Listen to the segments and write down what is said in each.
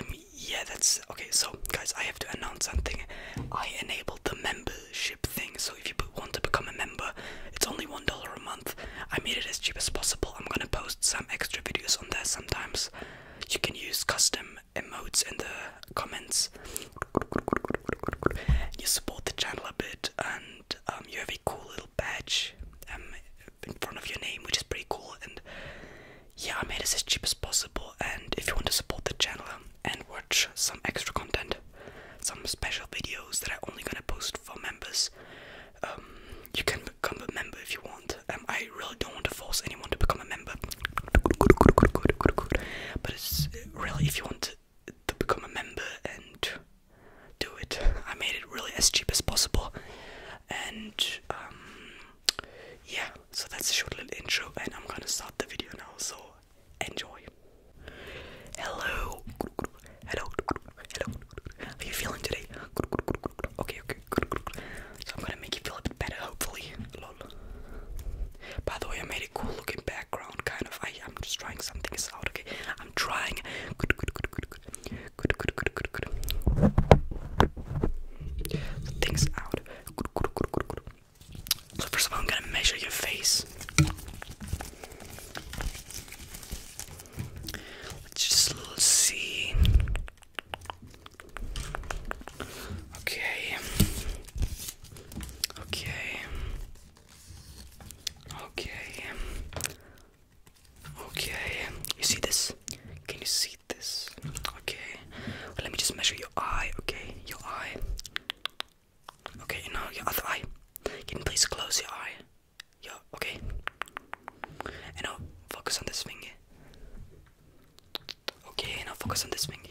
um, yeah, that's okay. So, guys, I have to announce something. I enabled the membership thing, so if you want to become a member, it's only one dollar a month. I made it as cheap as possible. I'm gonna post some extra videos on there sometimes. You can use custom emotes in the comments. You support the channel a bit, and um, you have a cool little badge um, in front of your name, which is pretty cool. And yeah, I made it as cheap as possible. And if you want to support the channel and watch some extra content, some special videos that I'm only gonna post for members, um, you can become a member if you want. Um, I really don't want to force anyone to become a member, but it's uh, really if you want to become a member and do it. I made it really as cheap as possible, and um, yeah, so that's a short little intro, and I'm gonna start the video now. So enjoy. Hello, hello, hello. are you feeling today? Okay, okay. So I'm gonna make you feel a bit better, hopefully. By the way, I made a cool looking background, kind of. I, am just trying something out. Okay, I'm trying. things out. So first of all, I'm gonna measure your face. Let's just see. Okay. Okay. Okay. Okay. You see this? Can you see this. Okay. let me just measure your eye. Okay, your eye. Okay, now your other eye. Can you please close your eye? Yeah. Okay. And now focus on this finger. Okay, now focus on this finger.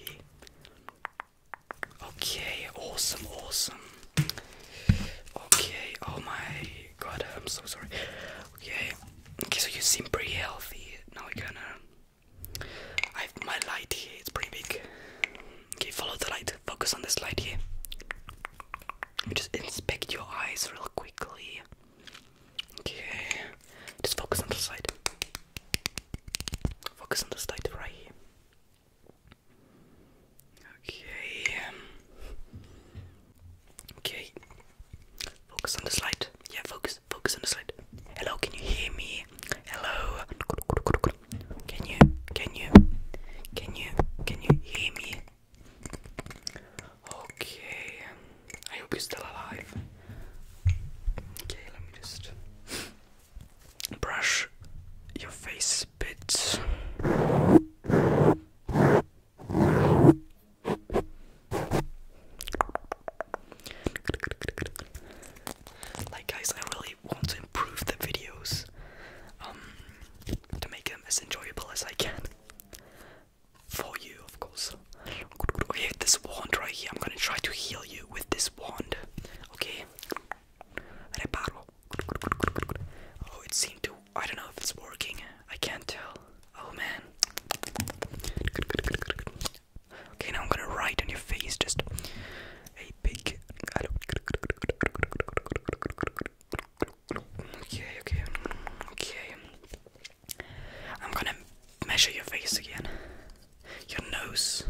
Okay, awesome, awesome. Okay, oh my god, I'm so sorry. Okay, okay, so you seem pretty healthy. Now we're gonna I've my light here, it's pretty big. Okay, follow the light. Focus on this light here. Just inspect your eyes real quickly. Okay. Just focus on the slide. Focus on the slide right here. Okay. Um, okay. Focus on the slide. Yeah, focus focus, on the slide. Hello, can you hear me? Hello. Can you, can you, can you, can you hear me? Okay. I hope you're still alive. Okay, let me just brush your face a bit. Like guys, I really want to improve the videos um, to make them as enjoyable as I can. For you, of course. Okay, this wand right here, I'm gonna try to heal you with this wand. Okay? Reparo. Oh, it seemed to. I don't know if it's working. I can't tell. Oh man. Okay, now I'm gonna write on your face just a big. Okay, okay, okay. I'm gonna measure your face again. Your nose.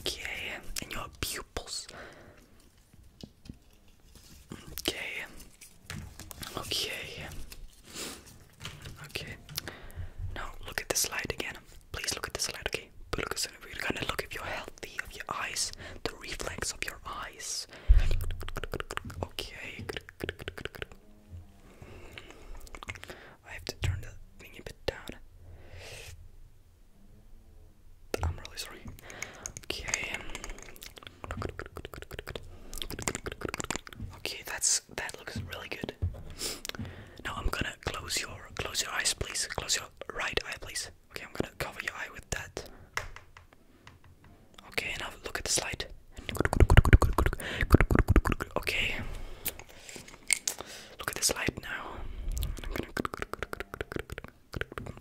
Okay, and your pupils. Okay. Okay. Okay. Now look at the slide again. Please look at the slide, okay? Because we're gonna look if you're healthy of your eyes, the reflex of your eyes. Okay. I have to turn the thing a bit down. I'm really sorry. Okay. Okay, that's that looks really good. Now I'm gonna close your close your eyes, please. Close your right eye, please. Okay, I'm gonna cover your eye with that. Okay, now look at the slide. Okay. Look at the slide now.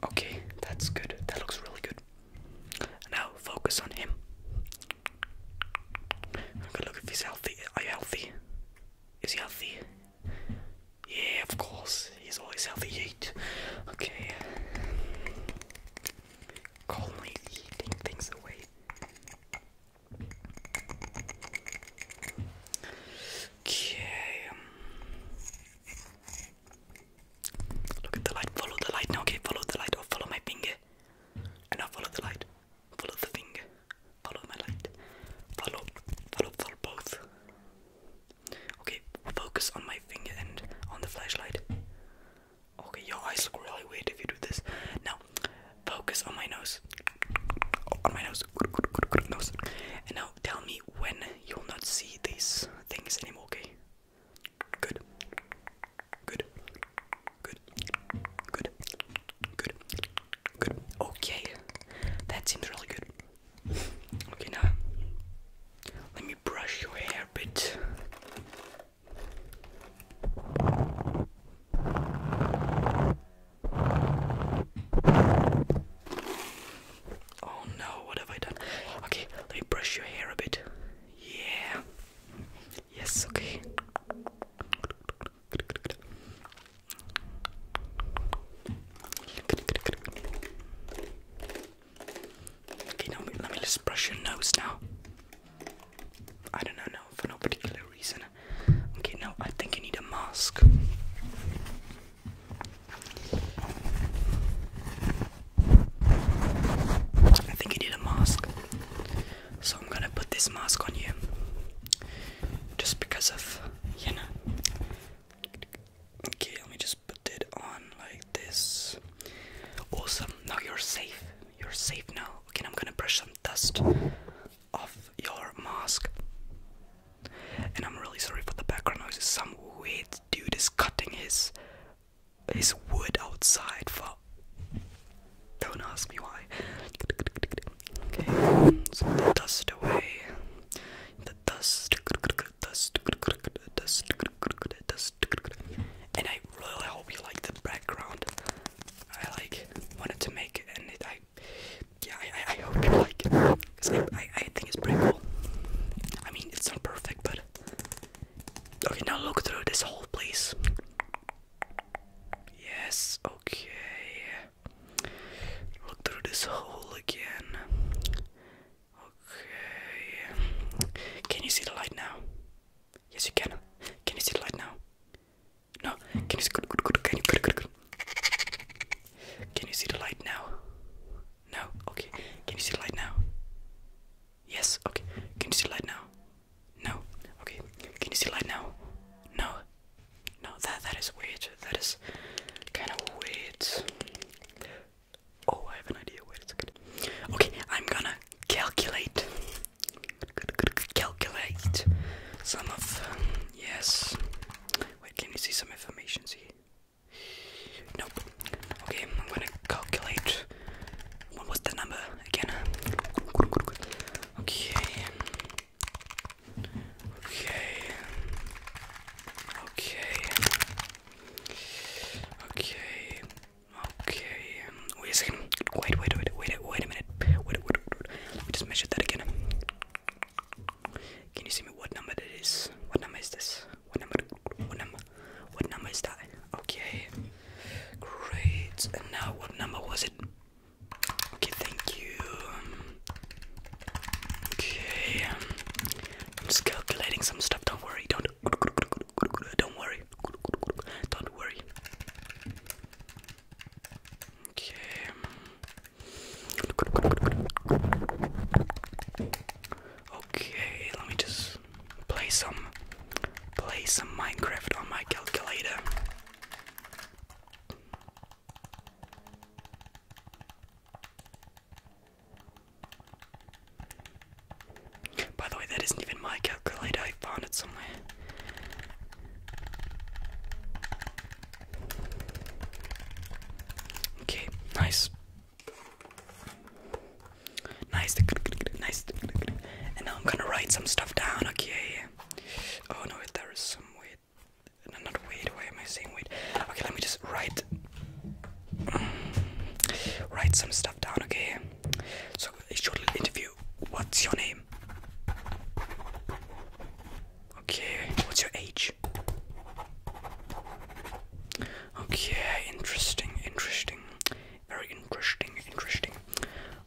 Okay, that's good. That looks really good. Now focus on him i look if he's healthy. Are you healthy? Is he healthy? Yeah, of course. He's always healthy. Eat. Okay. Calmly eating things away. Okay. Um. Look at the light. Follow the light. okay, follow the light. Or follow my finger. And now follow the light. Follow the finger. Follow my light. Follow, follow, follow both. Okay, focus on my finger and on the flashlight. Okay, your eyes look really weird if you do this. Now, focus on my nose. on my nose. Good, good, good, good nose. And now tell me when you'll not see these things anymore, okay? Good. Good. Good. Good. Good. Good. Okay. That seems really good. Okay, now let me brush your hair a bit. Oh no, what have I done? Okay, let me brush your hair a bit. Yeah. Yes, okay. Okay, now let me just brush your nose now. I don't know, for no particular reason. Okay, now I think you need a mask. I think you need a mask. So I'm gonna put this mask on you just because of you know. Okay, let me just put it on like this. Awesome. Now you're safe. You're safe now. Okay, I'm gonna brush some dust off your mask. And I'm really sorry for the background noise. Some weird dude is cutting his his wood outside for don't ask me why. Okay, dust away. The dust, dust, dust, dust. And I really hope you like the background. I like wanted to make it, and I, yeah, I, hope you like it. Cause I, I, think it's pretty cool. I mean, it's not perfect, but okay. Now look through this hole, please. Yes, okay. Look through this hole again. Okay. Can you see the light now? Yes, you can. Can you see the light now? No. Can you see? Can you see the light now? No. Okay. Can you see the light now? Yes. Okay. Can you see the light now? No. Okay. Can you see light now? No. No. That that is weird. That is kind of weird. Oh, I have an idea. Wait a second. Okay, I'm gonna calculate. Calculate some of um, yes. Wait, can you see some information? See? Nope. Okay, I'm gonna calculate. What was the number again? Okay. Okay. Okay. Okay. Okay. Wait a second. Wait, wait, wait, wait, wait a minute. Wait, wait, wait. Let me just measure that again. Can you see me what number that is? What number is this? What number? What number? What number is that? Okay. Great. And now what number was it? Okay, thank you. Okay, um, I'm just calculating some stuff. Don't worry. Don't. Don't worry. Don't worry. Okay. Um. Okay, let me just play some play some Minecraft on my calculator. By the way, that isn't even my calculator, I found it somewhere. Okay, nice. Nice, nice, and now I'm gonna write some stuff down, okay? Oh no, there is some weight. not weight. Why am I saying weight? Okay, let me just write. write some stuff down. Okay. So a short interview. What's your name? Okay. What's your age? Okay. Interesting. Interesting. Very interesting. Interesting.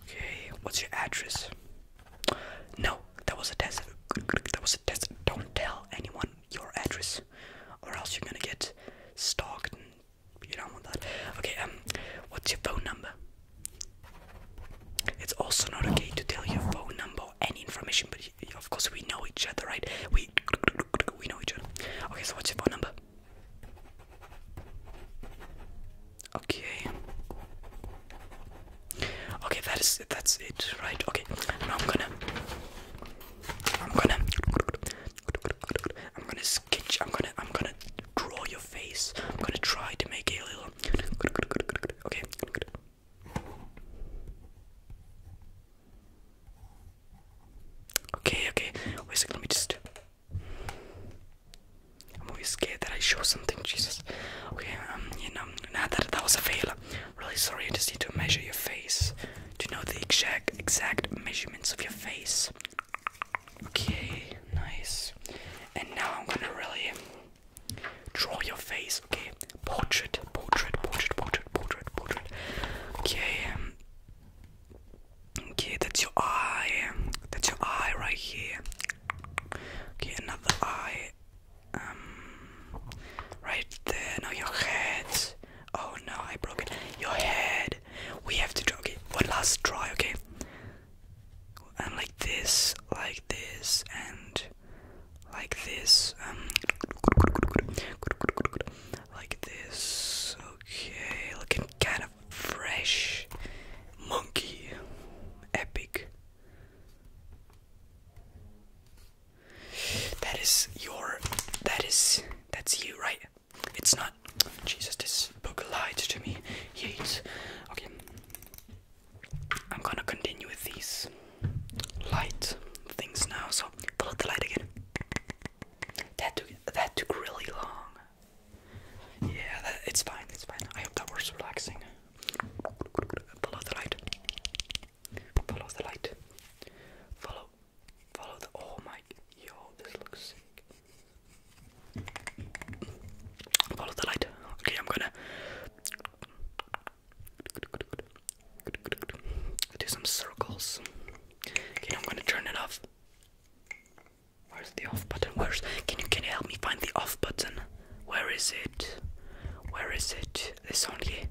Okay, what's your address? No, that was a test. That was a test. Don't tell anyone your address, or else you're gonna get stalked. you don't want that. Okay, um, what's your phone number? It's also not okay to tell your phone number any information, but of course we know each other, right? We we know each other. Okay, so what's your phone number? Okay. Okay, that is that's it, right? Okay. Now I'm gonna I'm gonna I'm gonna sketch I'm gonna I'm gonna draw your face. I'm gonna try to make it a little okay. Okay, okay. Wait a second, let me just I'm always scared that I show something, Jesus. Okay, um, you know, now that that was a fail. Really sorry, I just need to measure your face. To know the exact exact measurements of your face. Okay, nice. And now I'm gonna really draw your face, okay? Portrait, portrait, portrait, portrait, portrait, portrait. Okay, um, Okay, that's your eye. That's your eye right here. Okay, another eye. Um, right there. Now your head. Oh no, I broke it. Your head. We have to try. it. one last try. Okay. And like this, like this, and like this. Um, like this. Okay, looking. kind of fresh monkey epic. That is your that is that's you, right? It's not Jesus, this book lied to me. Yeats. Okay. I'm gonna continue with these light things now, so follow the light again. That took that took really long. Yeah, it's fine, it's fine. I hope that was relaxing. Follow the light. Follow the light. Follow. Follow the. Oh my. Yo, this looks sick. Follow the light. Okay, I'm gonna. Do some circles. Okay, I'm gonna turn it off. Where's the off button? Where's can you can you help me find the off button? Where is it? Where is it? This only.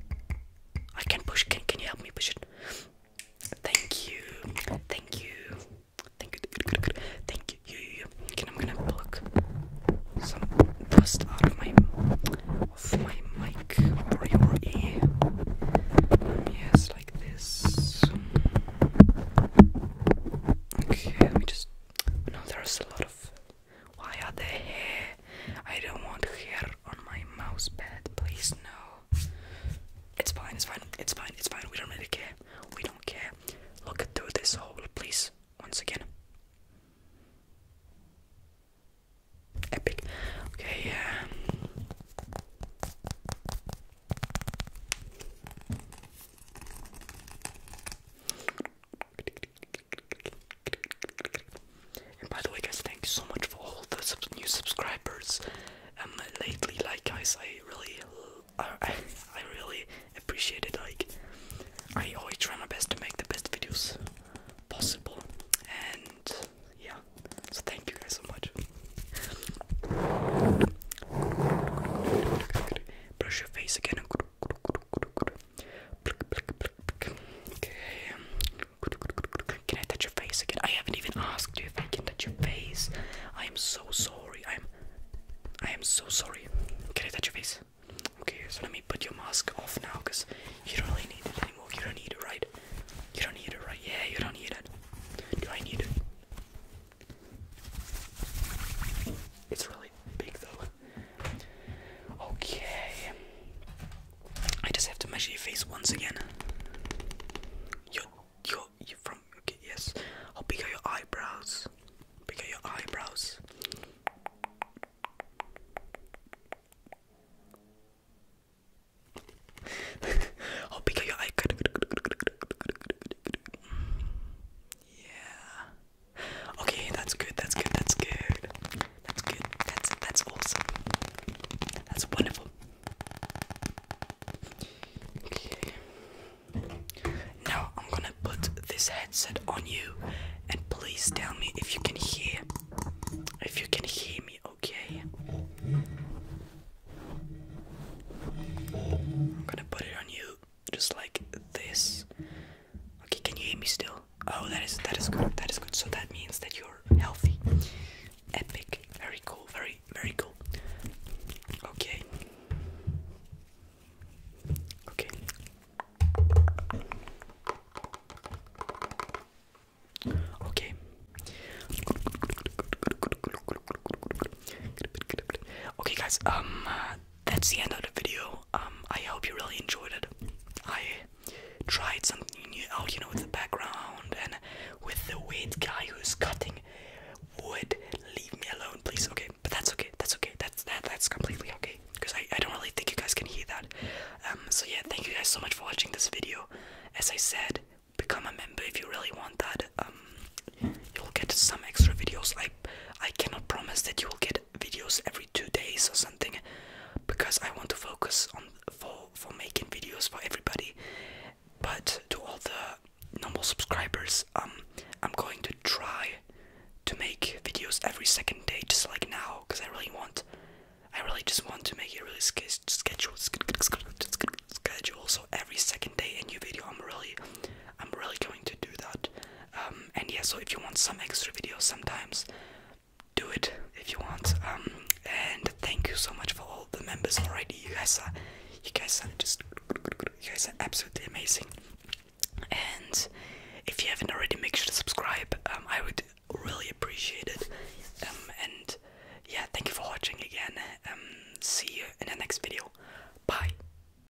I can push can can you help me push it? Thank you. Thank you. Thank you. Thank you. Okay, I'm gonna pluck some dust out of my of my mic for your ear. Yes, like this. Okay, let me just you there's a lot of why are the hair I don't want hair on my mouse pad please no it's fine it's fine it's fine it's fine we don't really care we don't care look through this hole please once again epic okay and by the way, guys, thank you so much for all the new subscribers. And um, lately, like guys, I really, I, uh, I really appreciate it. Like, I always try my best to make the best videos possible. And yeah, so thank you guys so much. Brush your face again. Okay. Can I touch your face again? I haven't even asked you if I can touch your face. I am so sorry. I'm. I am so sorry. Can I touch your face? Okay, let me put your mask off now, cause you don't really need it anymore. You don't need it, right? You don't need it, right? Yeah, you don't need it. Do I need it? It's really big though. Okay. I just have to measure your face once again. Your, your, you from, okay, yes. How big are your eyebrows? Big your eyebrows? How big are your eyebrows? Yeah. Okay, that's good. That's good. That's good. That's good. That's that's awesome. That's wonderful. Okay. Now I'm gonna put this headset on you, and please tell me if you can hear. If you can hear me, okay. I'm gonna put it on you just like this. Okay, can you hear me still? Oh, that is that is good. That is good. So that means that you're healthy. Epic. Very cool. Very very cool. Okay. Okay. Okay. Okay, guys. Um, that's the end of the video. Um, I hope you really enjoyed it. I tried something new out, you know, with the background and with the weird guy who's cutting wood. Leave me alone, please. Okay, but that's okay. That's okay. That's that. That's completely okay. Because I, I don't really think you guys can hear that. Um, so yeah, thank you guys so much for watching this video. As I said, become a member if you really want that. Um, you'll get some extra videos. I I I cannot promise that you will get videos every two days or something because I want to focus on for for making videos for everybody. But to all the normal subscribers, um, I'm going to try to make videos every second day, just like now, because I really want, I really just want to make it really sch scheduled, sch sch schedule. So every second day, a new video. I'm really, I'm really going to do that. Um, and yeah, so if you want some extra videos sometimes, do it if you want. Um, and thank you so much for all the members already. You guys are, you guys are just, you guys are absolutely amazing. And if you haven't already, make sure to subscribe. Um, I would really appreciate it. and yeah, thank you for watching again. Um, see you in the next video. Bye.